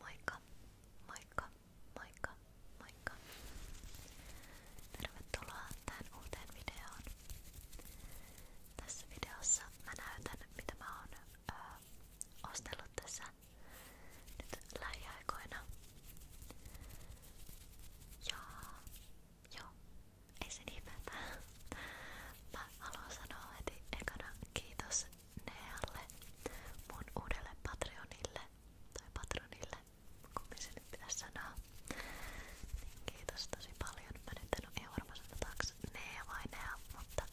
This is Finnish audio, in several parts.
Moikka, moikka, moikka, moikka. Tervetuloa tähän uuteen videoon. Tässä videossa mä näytän, mitä mä oon öö, ostellut tässä nyt lähiaikoina. Ja joo, ei sen niin ihmettä. Mä haluan sanoa heti ekana kiitos Nealle, mun uudelle Patreonille tai Patronille, kummin se nyt pitäisi sanoa. Niin kiitos tosi paljon. Mä nyt en oo ihan varma sanotaanko Nea vai Nea, mutta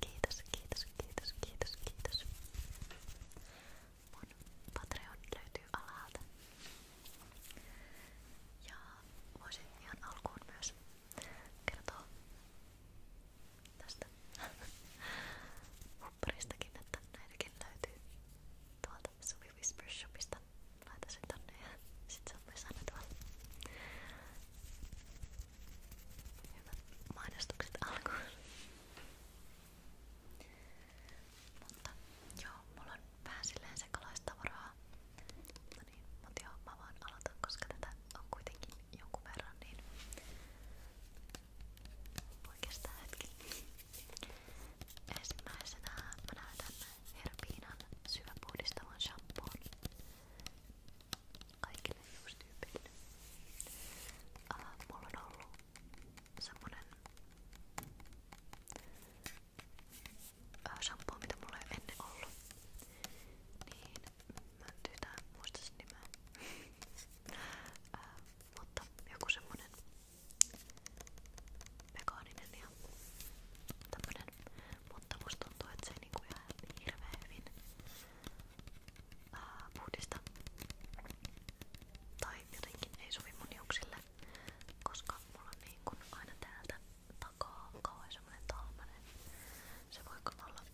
kiitos, kiitos, kiitos, kiitos, kiitos. Mun Patreon löytyy alalta. Ja voisin ihan alkuun myös kertoo tästä hupparistakin, että näitäkin löytyy tuolta Suvi Whisper Shopista. Laita sen tonne ja sit se on myös aina tuolla. Hyvät mainostukset alkuun. Mutta joo, mulla on vähän silleen sekalaista tavaraa. No niin, mut joo, mä vaan aloitan, koska tätä on kuitenkin jonkun verran, niin voi kestää hetki. Ensimmäisenä mä näytän herpiinan syöpuhdistavan shampoon kaikille hiustyypeille. Äh, mulla on ollut semmonen shampoo, mitä mulla ei ennen ollut. Niin mutta joku semmonen vegaaninen Mutta musta tuntuu, että se ei niinku ihan hirveän Tai jotenkin ei sovi mun koska mulla niin kun aina täältä takaa kauhean semmonen talmanen. Se voi olla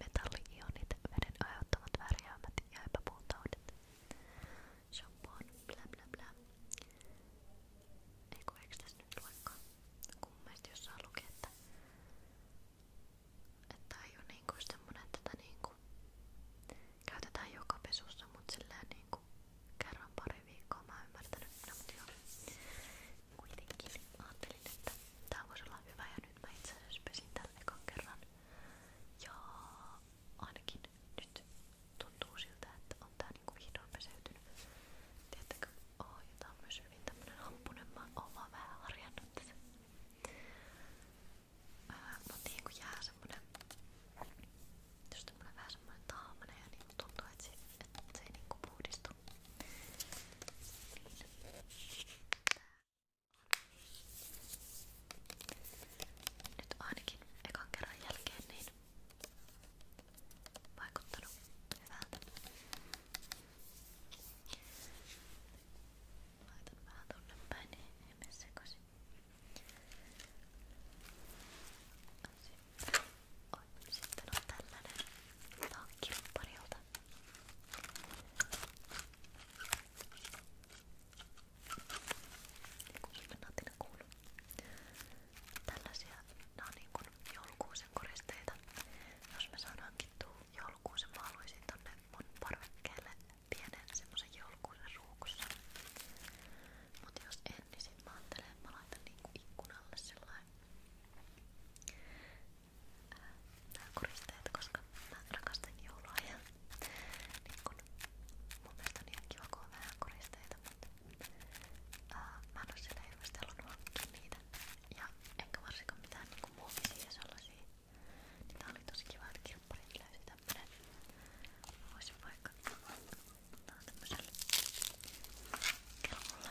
metalli-ionit, veden aiheuttamat värjäämät ja epäpuhtaudet. Shampoon, blä blä blä. Eiku, eikö tässä nyt luekaan? Kun mielestä jossain luki, että tää ei oo niinku semmonen, että tätä niinku käytetään joka pesussa, mut silleen niinku kerran pari viikkoa mä oon ymmärtänyt. No mut joo. Kuitenkin ajattelin, että tää voisi olla hyvä ja nyt nyt mä itse asiassa pesin tällä ekan kerran. Ja ainakin nyt tuntuu siltä, että on tää niinku vihdoin peseytynyt. Tiedättekö, oh, ja tää on myös hyvin tämmönen happunen. Mä oon vaan vähän harjannut tätä. Ää, mut niinku jää semmonen, jos tämmönen vähän semmonen taamanen ja niinku tuntuu, että se, et se ei niinku puhdistu. Niin. Tää nyt ainakin ekan kerran jälkeen niin vaikuttanut hyvältä. Laitan vähän tonne päin, niin ei mene sekaisin. Sitten on tällainen. Tää on kirpparilta. Kuuminatinen kuulu. Tällaisia, nää on niin kuin joulukuusen koristeita. Jos mä saan hankittua joulukuusen, mä haluaisin tonne mun parvekkeelle pienen semmosen joulukuusen ruukussa. Mut jos en, niin sit mä ajattelen, että mä laitan niinku ikkunalle sellainen nämä koristeet, koska mä rakastan joulua ja niin kun, mun mielestä on ihan kiva, kun on vähän koristeita, mutta ää, mä en oo siellä hirveesti halunnut hankkia niitä ja enkä varsinkaan mitään niinku muovisia sellaisia niin tää oli tosi kiva, että kirpparit löysi tämmönen mä voisin vaikka tää on tämmösellä kellolla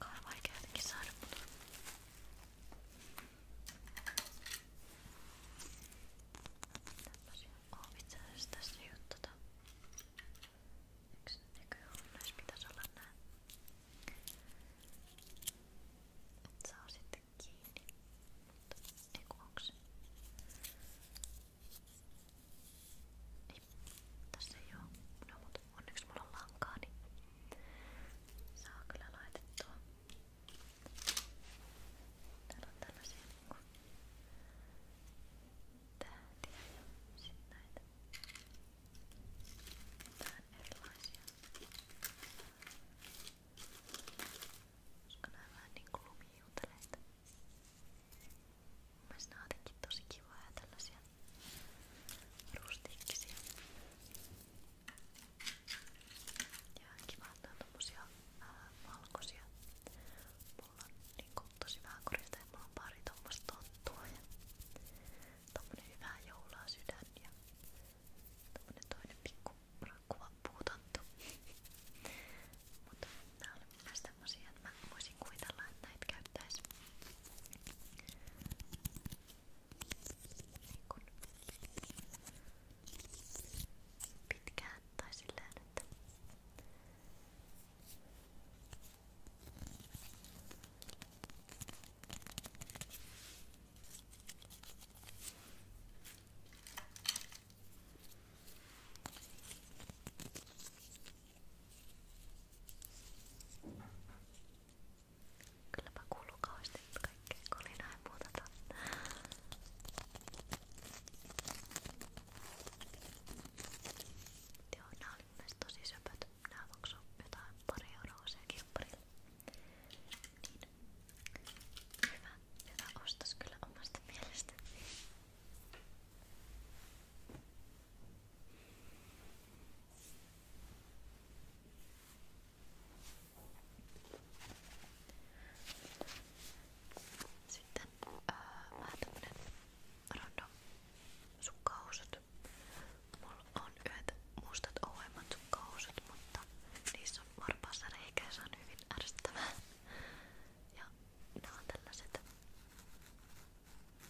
Kar varken güzel bunu. Tämmöisiä on itse asiassa tässä juttuta. Eikö se näköjään näissä pitäisi olla näin? Et saa sitten kiinni. Mutta ei onko se? Niin, tässä ei oo. No mut onneksi mulla on lankaa, niin saa kyllä laitettua. Täällä on tällaisia niinku tähtiä ja sit näitä vähän erilaisia. Koska nää on vähän niinku lumijuuteleita. Mielestäni on jotenkin tosi kivaa ja tällaisia rustiikkisia. Ja kivaa, että on tommosia ää, valkoisia. Mulla on niinku tosi vähän korista ja mulla on pari tommosta tonttua ja tommonen hyvää joulua sydän ja tommonen toinen pikku rakkuva ole puutottu. Mutta nämä oli myös tämmösiä, että mä voisin kuvitella, että näitä käyttäisi niin kun pitkään tai silleen, että Kylläpä kuuluu kauheasti kaikkea kolinaa ja muuta tonne. Joo, nää oli myös tosi söpöt. Nää maksoi jotain pari euroa se kirpparille. Niin, Hyvä, hyvä ostos kyllä omasta mielestä. Sitten öö, vähän tämmönen random sukkahousut. Mulla on yhdet mustat ouemmat sukkahousut, mutta niissä on varpaassa reikä ja se on hyvin ärsyttävää. Ja nämä on tällaiset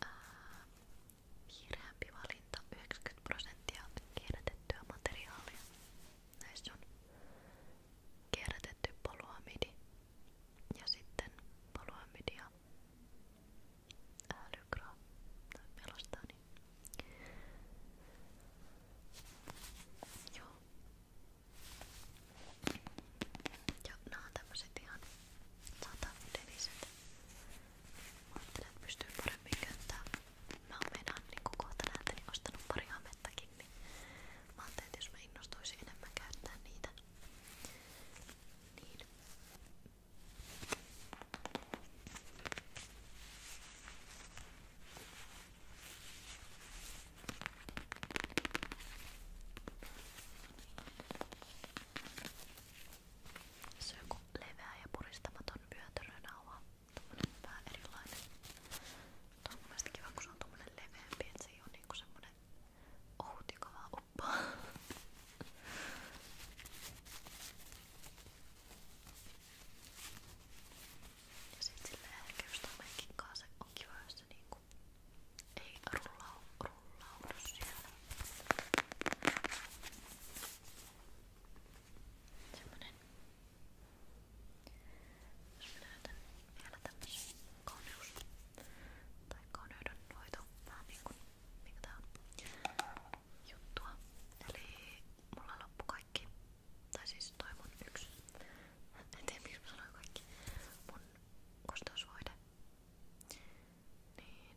ää, kiireämpi valinta, 90 prosenttia kierrätettyä materiaalia. Näissä on kierrätetty poluamidi ja sitten poluamidi ja lykraa tai melastani. Niin joo. Ja nää on tämmöset ihan satavudeliset. Mä ajattelen, että pystyy paremmin käyttämään. Mä oon meinaan niinku kohta näiltäni ostanut pari hamettakin, niin mä ajattelin, että jos mä innostuisin enemmän käyttää niitä, niin se on joku leveä ja puristamaton vyötärönauha. Tommonen vähän erilainen. Tuo on mun mielestä kiva, kun se on tommonen leveämpi, et se ei oo niinku semmonen ohut, joka vaan uppaa. Ja sit silleen ehkä just tämänkin kanssa on kiva, jos se niinku ei rullaudu, rullaudu siellä. Semmonen. Jos mä löytän vielä tämmösen kauneus tai kauneudenhoito, vähän niinku mikä tää on juttua. Eli mulla loppu kaikki tai siis toi mun yksi, en tiedä miksi mä sanoin kaikki, mun kosteusvoide, niin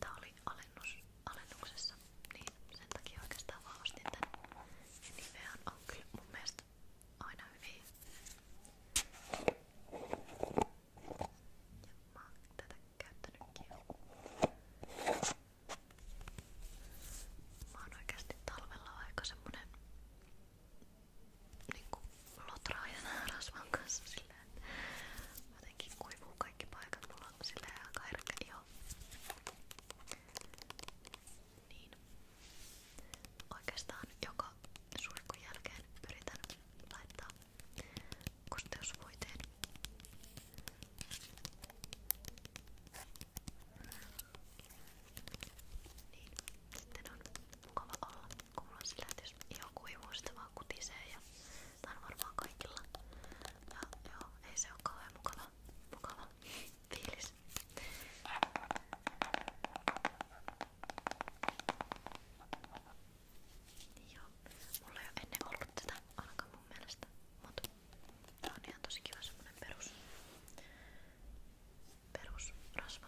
tää oli alennus, alennuksessa, niin sen takia oikeastaan vaan ostin tän. Ja niin nivehän on kyllä mun mielestä aina hyviä. Ja mä oon tätä käyttänytkin jo. Mä oon oikeasti talvella aika semmonen niinku lotraa ja nää rasvan kanssa silleen. Jotenkin kuivuu kaikki paikat mulla on silleen aika herkkä iho. Niin. Oikeastaan joka suihkun jälkeen yritän laittaa kosteusvoiteen. Niin. Sitten on mukava olla kuulla sillä, että jos joku ei muista vaan kutisee ja tää on varmaan kaikilla. Ja joo, ei se oo kauhean mukava, mukava fiilis. Niin joo, mulla ei oo ennen ollut tätä ainakaan mun mielestä, mut Tää on ihan tosi kiva semmonen perus, perus rasva.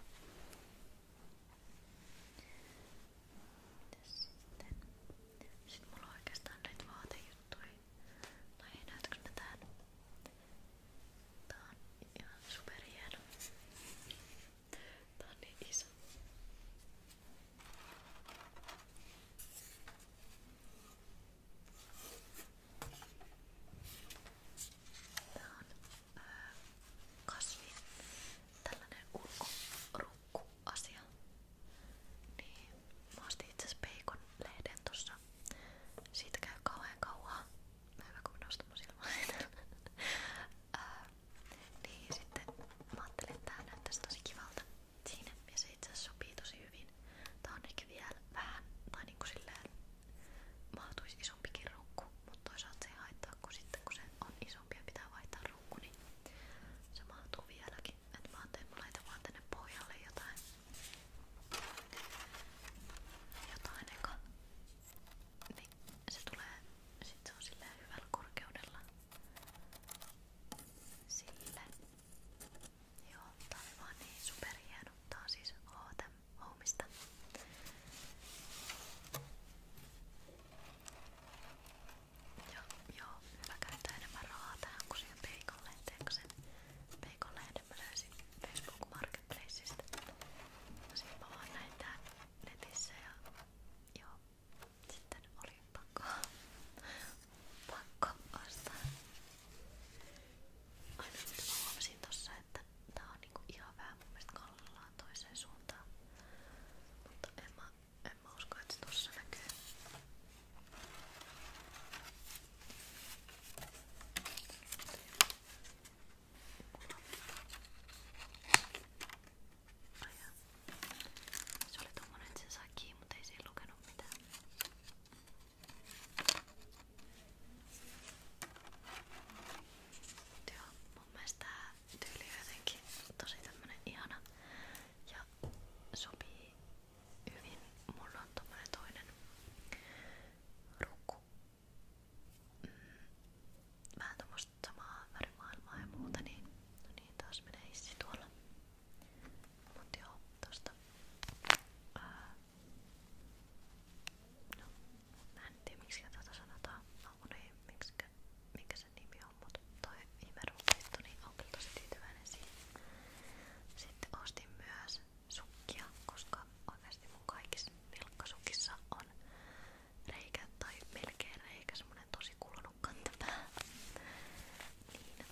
Mitäs sitten? Sitten mulla on oikeastaan näitä vaatejuttuja. No ei näytäks mä tän? Tää on ihan superhieno. Tää on niin iso. Tää on öö, äh, kasvi, tällainen ulkorunkku-asia. Niin, mä ostin itse asiassa peikon lehden tossa. Siitä käy kauhean kauan. Mä hyvä kun minä ostan mun öö, Niin sitten mä ajattelin, että tää näyttäisi tosi kivalta siinä. Ja se itse asiassa sopii tosi hyvin niin tää on ehkä vielä vähän, tai niinku silleen mahtuisi isompikin ruukku, mutta toisaalta se ei haittaa, kun sitten kun se on isompi ja pitää vaihtaa ruukku, niin se mahtuu vieläkin. Et mä ajattelin, mä laitan vaan tänne pohjalle jotain. Jotain eka. Niin se tulee, sit se on silleen hyvällä korkeudella. Sille. Joo, tää oli vaan niin superhieno. Tää on siis HTM Homeista. Joo, joo, mä käytän enemmän rahaa tähän kuin siihen peikolleen. Teekö sen peikolleen mä löysin Facebook Marketplaceista? No sit mä vaan näin tää netissä ja joo, sitten oli pakko, pakko ostaa. Aina mitä mä huomasin tossa, että tää on niinku ihan vähän mun mielestä kallellaan toiseen suuntaan. Mutta en mä, en mä usko, että se tossa näkyy. Aja. Se oli tommonen, että sen sai kiinni, mutta ei siinä lukenut mitään. Joo, mun mielestä tää tyyli on jotenkin tosi tämmönen ihana ja sopii hyvin. Mulla on tommonen toinen rukku. Mm, vähän tommoista samaa värimaailmaa ja muuta, niin, no niin taas menee hissi tuolla. Mut joo, tosta ää, No, mä en tiedä miksi tätä sanotaan. No, niin, miksikä, mikä sen nimi on, mutta toi viime ruukeittu, niin on kyllä tosi tyytyväinen siihen. Sitten ostin myös sukkia, koska oikeasti mun kaikissa nilkkasukissa on reikä tai melkein reikä, semmonen tosi kulunut kantapää. Niin,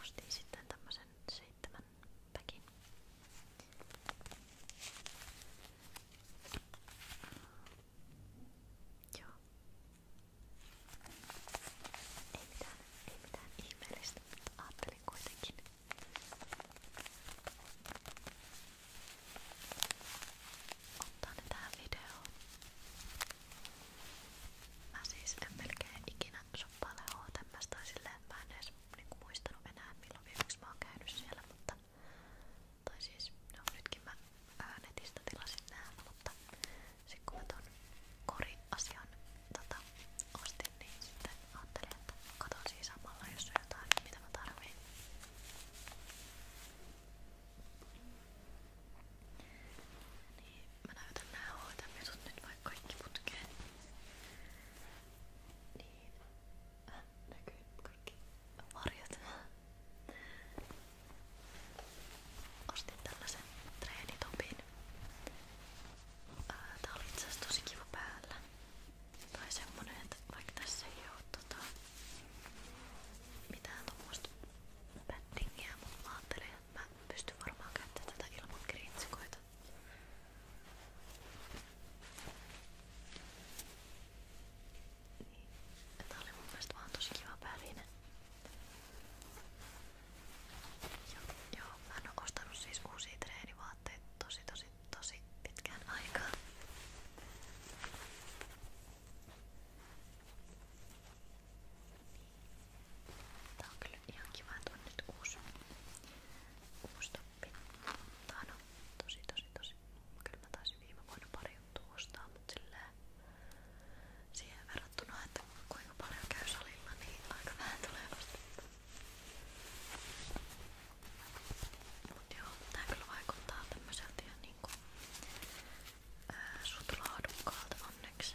ostin sitten tämmösen, se tämän päkin. Joo. Ei mitään, ei mitään ihmeellistä, mutta ajattelin kuitenkin. Ottaa ne tähän videoon. Mä siis en melkein ikinä on paljon tämmöistä silleen, mä en edes niinku, muistanut enää milloin viimeksi mä oon käynyt siellä, mutta tai siis, no nytkin mä ää, netistä tilasin nää, mutta sit kun mä ton kori-asian tota, ostin, niin sitten ajattelin, että katon siis samalla, jos on jotain, mitä mä tarviin. Niin, mä näytän nää hoitajat nyt vaikka kaikki putkeen. Niin. Äh, näkyy kaikki varjot. Ostin tällaisen treenitopin. Äh, tää oli itse asiassa tosi kiva päällä. Tai semmonen, että vaikka tässä ei oo tota, mitään tommoista battingia, mutta mä ajattelin, että mä pystyn varmaan käyttämään tätä ilman kriitsikoita. Niin. Tää oli mun mielestä vaan tosi kiva väline. Joo, joo, mä en oo ostanut siis uusia treenivaatteita tosi tosi tosi pitkään aikaan. Tää on kyllä ihan kiva, että on nyt uusi, uusi toppi. Tää on tosi tosi tosi. Kyllä mä taisin viime vuonna pari juttua ostaa, mutta silleen siihen verrattuna, että kuinka paljon käy salilla, niin aika vähän tulee ostettua. Mut joo, tää kyllä vaikuttaa tämmöseltä ihan niinku sutlaadukkaalta onneksi.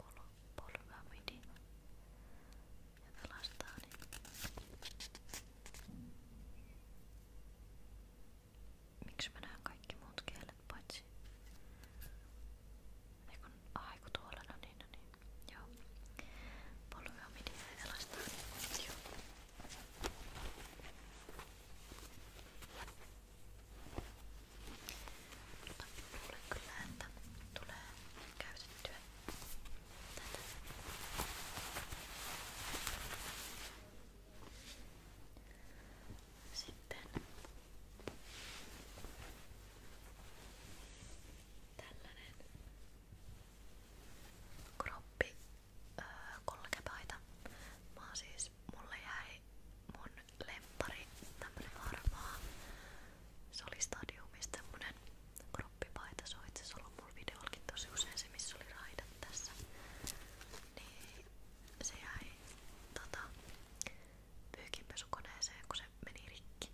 pol, polvea pidin ja pelastaa niitä. Miksi mä näen kaikki muut kielet paitsi? Ei kun, ai kun tuolla, no niin, no niin. Joo. Polvea pidin ja pelastaa niitä. Joo. Mutta luulen kyllä, että tulee käytettyä tätä. Sitten tällainen kroppi öö, äh, kolkepaita. Mä siis, mulle jäi mun lemppari, tämmönen harmaa. Se oli stadiumissa tämmönen kroppipaita, se on itse asiassa ollut mun videollakin tosi usein se, missä oli raidat tässä. Niin se jäi tota, pyykinpesukoneeseen, kun se meni rikki.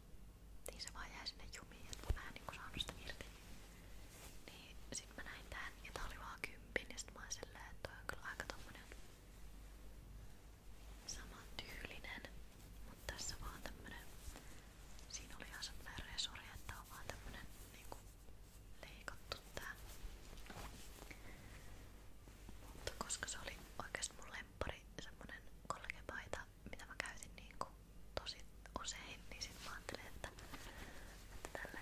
Niin se vaan jäi sinne jumiin, että mä en niinku saanut sitä irti. Niin sit mä näin tän ja tää oli vaan kympin ja sit mä olin silleen, että toi on kyllä aika tommonen saman tyylinen, mutta tässä vaan tämmönen, siinä oli ihan semmonen resori, että on vaan tämmönen niinku leikattu tää. Mutta koska se oli oikeesti mun lemppari, semmonen kolkepaita, mitä mä käytin niinku tosi usein, niin sit mä ajattelin, että, että tälle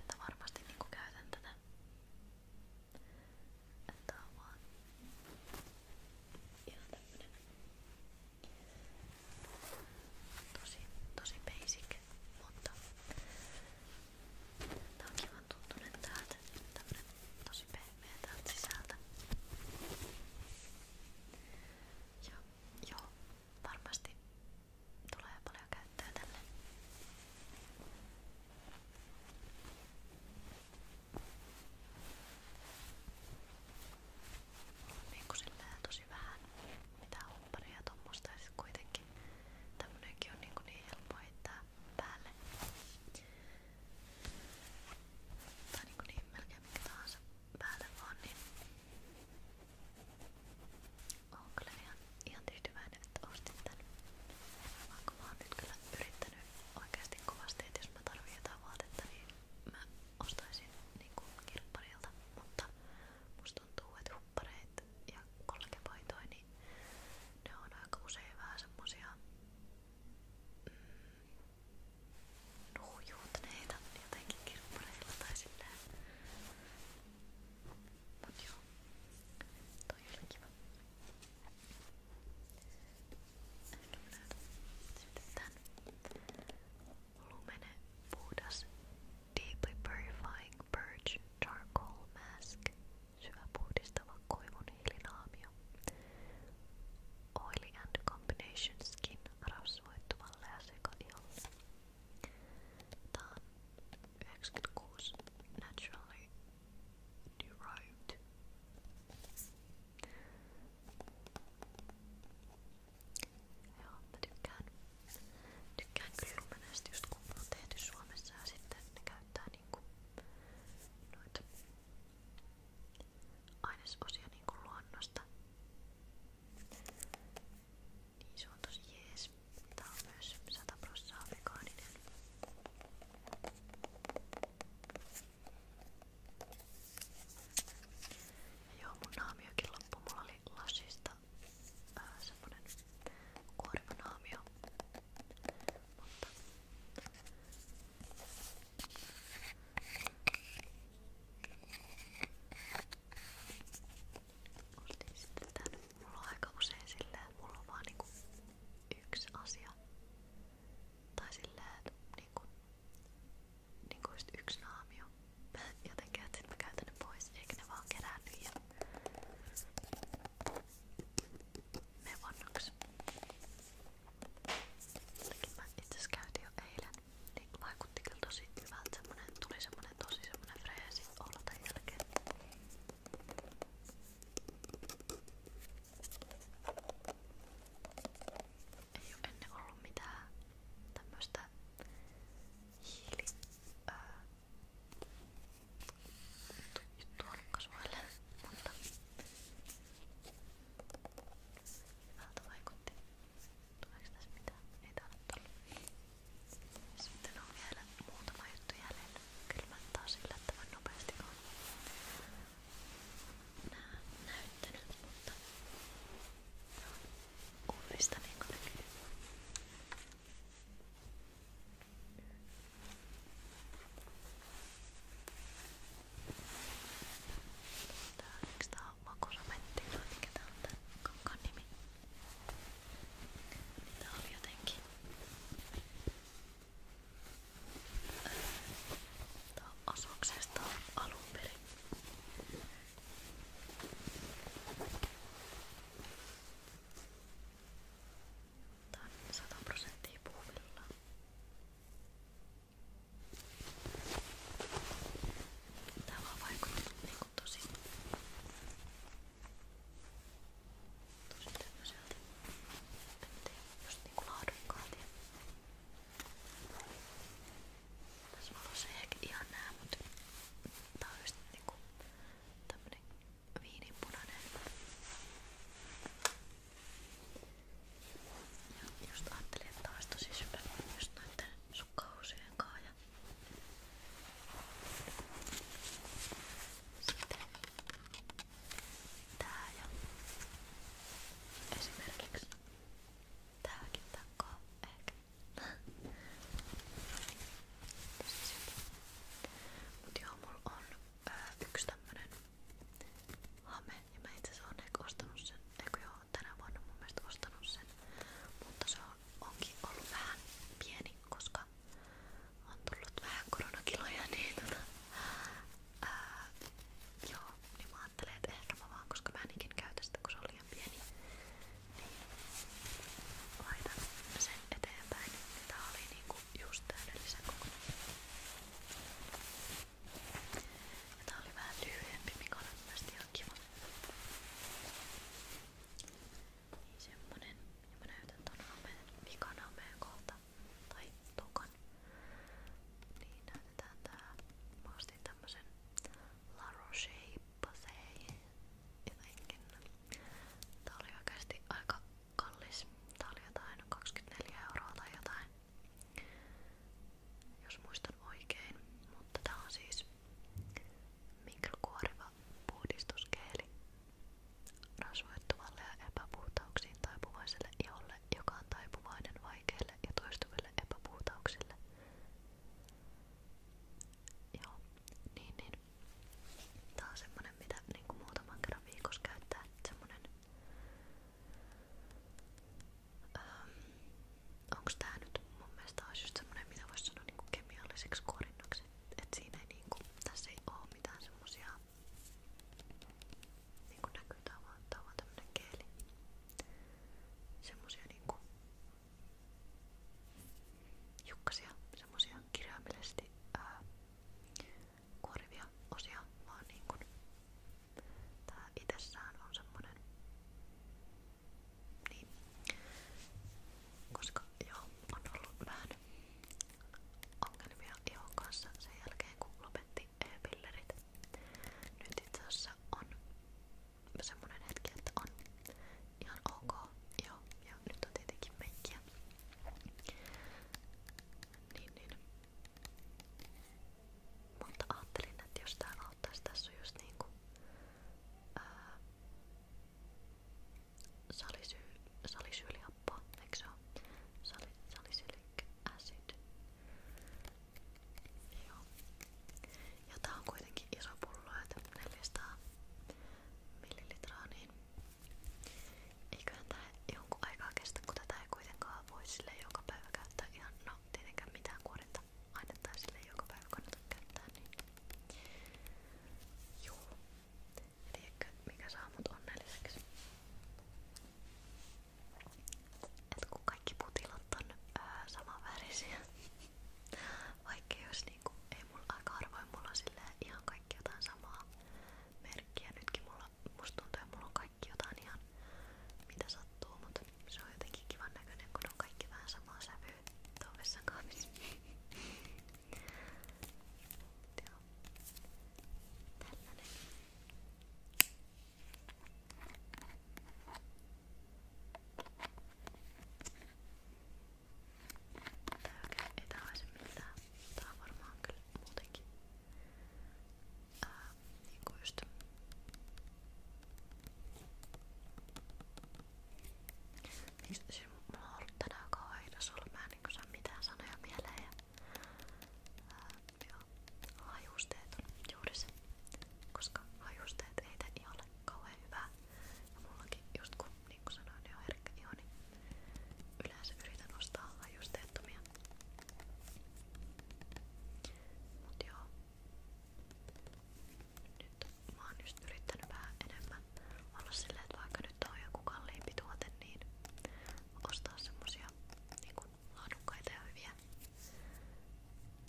että varmasti niinku käytän tätä and that one ihan tämmönen tosi, tosi basic, mutta tää on kivan tuntunen täältä, tämmönen tosi pehmeä täältä sisältä ja joo, varmasti tulee paljon käyttöä tälle Niinku sillä tosi vähän mitään hopparia ja tommosta ja sit kuitenkin tämmönenkin on niinku niin helppo heittää päälle. Tai niinku niin melkein mikä tahansa päälle vaan, niin on kyllä ihan ihan tyytyväinen, että ostin tän. Vaikka mä oon nyt kyllä yrittänyt oikeasti kovasti, että jos mä tarvitsen jotain vaatetta, niin mä ostaisin niinku kirpparilta, mutta musta tuntuu, että huppareit ja kolkepaitoja, niin ne on aika usein vähän semmosia mm, nuhujuutneita jotenkin kirppareilla tai silleen. Mut joo, toi oli kiva. Sitten tän Lumene puhdas Deeply Purifying Purge Charcoal Mask syvä puhdistava koivun hiilinaamio Oily and Combination Skin rasvoittuvalle ja sekaiolle Tää on 96 Naturally new road. Joo, mä tykkään, tykkään kyllä menestystä, kun mä oon tehty Suomessa ja sitten ne käyttää niinku noita ainesosia niinku luonnosta. Niin se on tosi jees. Tää on myös 100 prossaa vegaaninen. Ja joo, mun naamiokin loppu. Mulla oli lasista ää, semmonen kuoriva naamio. Mutta ostin sitten tän Mulla on aika usein silleen, mulla on vaan niinku yksi asia. Tai silleen, että niinku, niinku just yksi naamio. Jotenkin, että sit mä käytän ne pois, eikä ne vaan keräänny ja mene vannaksi. Jotenkin mä itseasiassa käytin jo eilen, niin vaikutti kyllä tosi hyvältä semmonen, tuli semmonen tosi semmonen freesi olla tämän jälkeen. Ei ole ennen ollut mitään tämmöstä hiili öö, juttua kasvoille, mutta hyvältä vaikutti. Tuleeko tässä mitään? Ei täällä tullut. Sitten on vielä muutama juttu jälleen kylmäntää sillä tavan nopeasti on nää näyttänyt, mutta uudesta niin kuin näkyy. Tää, eikö tää on makusametti vai mikä tää on tän kankaan nimi? Tää oli jotenkin asuksesta alun perin. Tää on 100 prosenttia puuvilla. Tää vaan vaikuttanut niinku tosi Tosi tämmöiseltä just niinku laadukkaat ja tässä valossa ei ehkä ihan näe, mut tää on just niinku tämmönen viininpunainen ja just ajattelin, että taas tosi syvä just noitten sukkahousien kaa ja sitten tää ja esimerkiksi tääkin takkaa ehkä siis mut joo mulla on ää, yksi tämmönen hame ja mä itse asiassa oon ehkä ostanut sen eikö joo tänä vuonna mun mielestä ostanut sen mutta se on, onkin ollut vähän pieni koska on tullut vähän koronakiloja, niin tota, ää, joo, niin mä ajattelen, että ehkä mä vaan, koska mä enikin käytä sitä, kun se on liian pieni, niin laitan sen eteenpäin. Ja tää oli niinku just täydellisen kokoinen. Ja tää oli vähän lyhyempi, mikä on mielestäni ihan kiva. Niin semmonen. Ja niin mä näytän ton hameen, vikan hameen kohta. Tai tukan. Niin näytetään tää. Mä ostin tämmösen La Roche-poseen jotenkin. Tää oli oikeesti aika kallis. Tää oli jotain 24 euroa tai jotain. Jos muistan oikein. Mutta tää on siis mikrokuoriva puhdistuskeeli rasvoittuvalle ja epäpuhtauksiin taipuvaiselle iholle, joka on taipuvainen vaikeille ja toistuville epäpuhtauksille. Joo, niin niin. on semmonen, mitä niinku muutaman kerran käyttää. Semmonen... Ähm, onks tää nyt mun mitä vois sanoa niinku kemialliseksi korinnoksi? että et siinä ei niinku, tässä ei oo mitään semmosia niinku näkyy tää on vaan, tää on vaan tämmönen keeli semmosia niinku jukkasia, semmosia kirjaimellisesti ää, kuorivia osia vaan niinku tää itessään on semmonen niin koska joo, on ollut vähän ongelmia ihon kanssa sen jälkeen kun lopetti e-pillerit. Nyt itse asiassa on semmonen hetki, että on ihan ok, joo, ja nyt on tietenkin meikkiä. Niin, niin. Mutta ajattelin, että jos täällä auttaisi, tässä on just niinku ää, salisyy, salisyylihappoa, eikö se ole? Sali, salisylic acid. Joo. Ja tää on kuitenkin iso pullo, että 400 millilitraa, niin eiköhän tää jonkun aikaa kestä, kun tätä ei kuitenkaan voi sille joka päivä käyttää ihan, no tietenkään mitään kuorinta ainetta sille joka päivä kannata käyttää, niin joo. Tiedätkö, mikä saa mut onnelliseksi? Et kun kaikki putilat on öö, samanvärisiä. Vaikka jos niinku, ei mulla aika harvoin mulla on silleen ihan kaikki jotain samaa merkkiä. Nytkin mulla, musta tuntuu, että mulla on kaikki jotain ihan mitä sattuu, mutta se on jotenkin kivan näköinen, kun on kaikki vähän samaa sävyä tuon vessan kaapissa. Ja. Tällainen. Tää oikein ei tää haise miltään. Tää on varmaan kyllä muutenkin ää, niinku just Siis, siis mulla on ollut tänään kauheita sulla, mä en niinku saa mitään sanoja mieleen. Ja, ää, joo, hajusteet on juuri se, koska hajusteet ei tee iholle kauhean hyvää. Ja mullakin just kun niinku sanoin, niin on herkkä iho, niin yleensä yritän ostaa hajusteettomia. Mut joo. Nyt mä oon just yrittänyt vähän enemmän olla silleen, että vaikka nyt on joku kalliimpi tuote, niin ostaa semmosia niin kuin laadukkaita ja hyviä.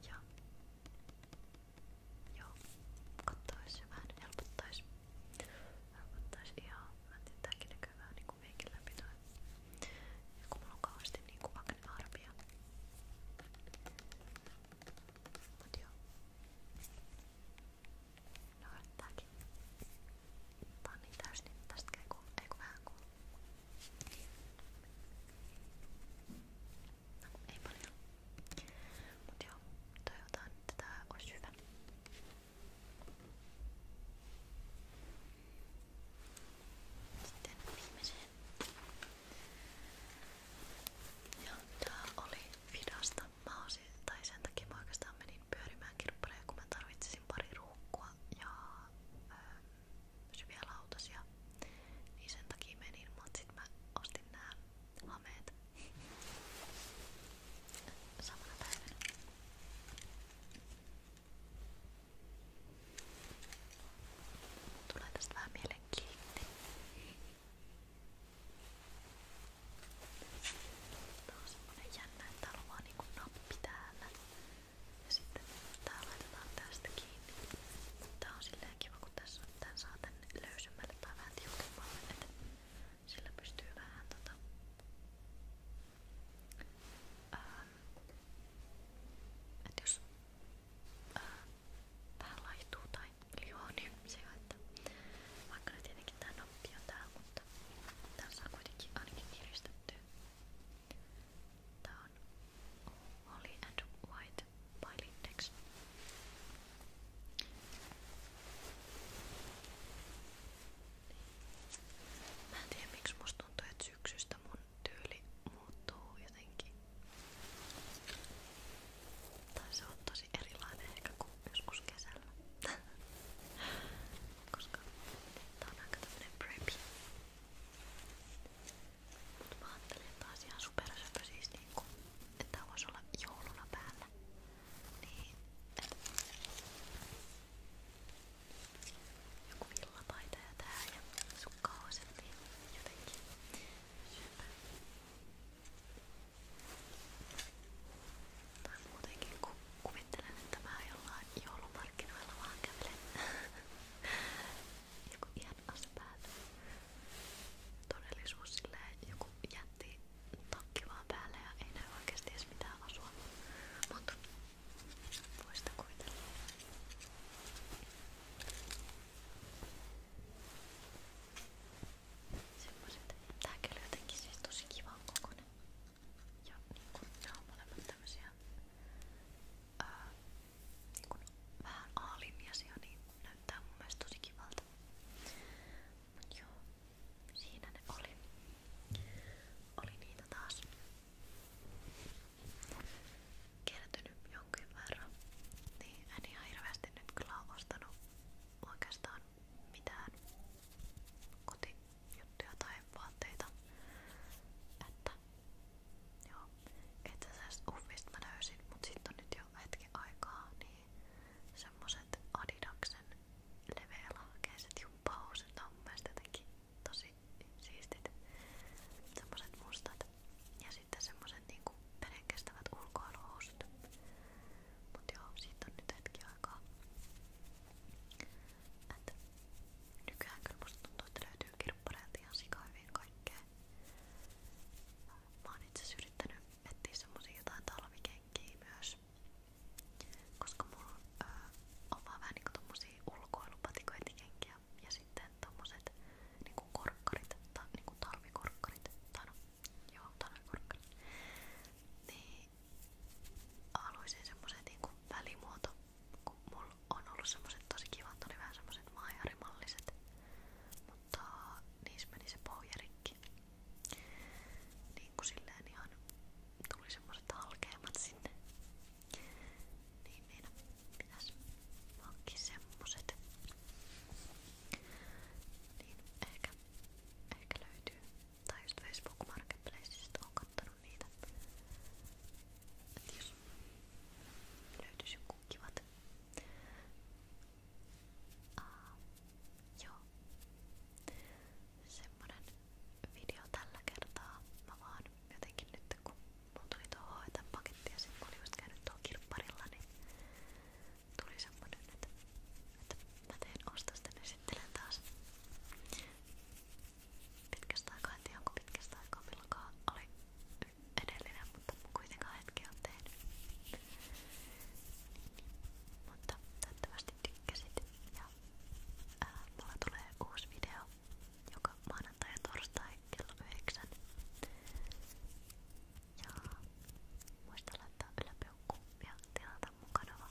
Ja joo, kattois ja vähän helpottais. Helpottais ihan, mä en tiedä, tääkin näkyy vähän niinku meikin läpi toi. Ja kun mulla on kauheasti niinku aknearpia. Mut joo. No tääkin. Tää on niin täys, niin tästä käy ku... ei ku vähän ku... No ei paljon. Mut joo, toivotaan että tää olisi hyvä. Sitten viimeiseen. Ja tää oli vidasta mä osin, tai sen takia mä oikeastaan menin pyörimään kirppareja, kun mä tarvitsisin pari ruukkua ja öö, syviä lautasia. Niin sen takia menin, mutta sit mä ostin nää hameet samana päivänä. Tulee tästä vähän mielenkiinti. Tää on semmonen jännä, että täällä on vaan niinku nappi täällä. Ja sitten tää laitetaan tästä kiinni. Tää on silleen kiva, kun tässä on, tän saa tänne löysemmälle tai vähän tiukemmalle, että sillä pystyy vähän tota... Ähm, että jos äh, vähän laihtuu tai sijoittaa. Niin vaikka nyt tietenkin tää nappi on täällä, mutta tässä on kuitenkin ainakin kiristetty. Tää on Holly and White by Lindex. Mä en tiedä miksi musta tuntuu, että syksystä mun tyyli muuttuu jotenkin. Tai se on tosi erilainen ehkä kuin joskus kesällä. Koska tää on aika tämmönen preppy. Mut mä ajattelin, että taas ihan supersöpö siis niinku, että tää voisi olla jouluna päällä. Niin, et. Joku villapaita ja tää ja sukkahouset, niin jotenkin syöpä. Tai muutenkin kun kuvittelen, että mä jollain joulumarkkinoilla vaan kävelen joku ihan ase päällä. Todellisuus silleen joku jätti takki vaan päälle ja ei näy oikeesti edes mitään asua. Mut voi sitä kuvitella. Semmoset. Tää kyllä jotenkin siis tosi kivan kokonen. Ja niinku nää on molemmat tämmösiä ää, niinku vähän A-linjasia, niin näyttää mun mielestä tosi kivalta. Mut joo, siinä ne oli. Oli niitä taas kertynyt jonkin verran. Niin en ihan hirveästi nyt kyllä ole ostanut oikeastaan mitään kotijuttuja tai vaatteita. Että joo, itse asiassa uffista mä löysin, mut sit on nyt jo hetki aikaa, niin semmoset Adidaksen leveälahkeiset jumppahousut on mun mielestä jotenkin tosi siistit. Semmoset mustat ja sitten semmoset niinku vedenkestävät ulkoiluhousut. Mut joo, siitä on nyt hetki aikaa. Et nykyään kyllä musta tuntuu, että löytyy kirppareilta ihan sikaa hyvin kaikkea. Mä oon itse yrittänyt etsiä semmosia jotain talvikenkiä myös. Koska mulla öö, on vaan vähän niinku tommosia ulkoilupatikointikenkiä ja sitten tommoset niinku korkkarit, ta, niinku talvikorkkarit, tai no Joo, tämä on korkkainen. Niin haluaisin semmosen niinku välimuoto, kun mulla on ollut semmoset tosi kivat, oli vähän semmoset maajarimalliset, mutta niissä meni se pohja rikki. Niinku silleen ihan tuli semmoset halkeammat sinne. Niin meidän pitäis hankkia semmoset. Niin ehkä, ehkä löytyy. Tai just Facebook Marketplaceista on kattonut niitä. Et jos löytyisi joku kivat. Uh, joo. Semmonen video tällä kertaa. Mä vaan jotenkin nyt kun mulla tuli tuohon hoitan paketti ja sit mä olin just käynyt tuohon kirpparilla, niin tuli semmonen, että, että mä teen ostosten esittelen taas pitkästä aikaa, en tiedä onko pitkästä aikaa milloinkaan oli edellinen, mutta kuitenkaan hetki on tehnyt mutta toivottavasti tykkäsit ja ää, mulla tulee uusi video joka maanantai ja torstai kello 9じゃあもし tällä yläpeukkuja tilata mun kanava.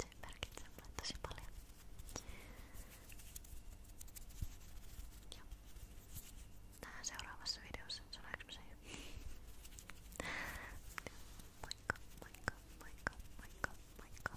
Se merkitsee mulle tosi paljon. Ja nähdään seuraavassa videossa. Sanoinko mä sen jo? Moikka, moikka, moikka, moikka, moikka.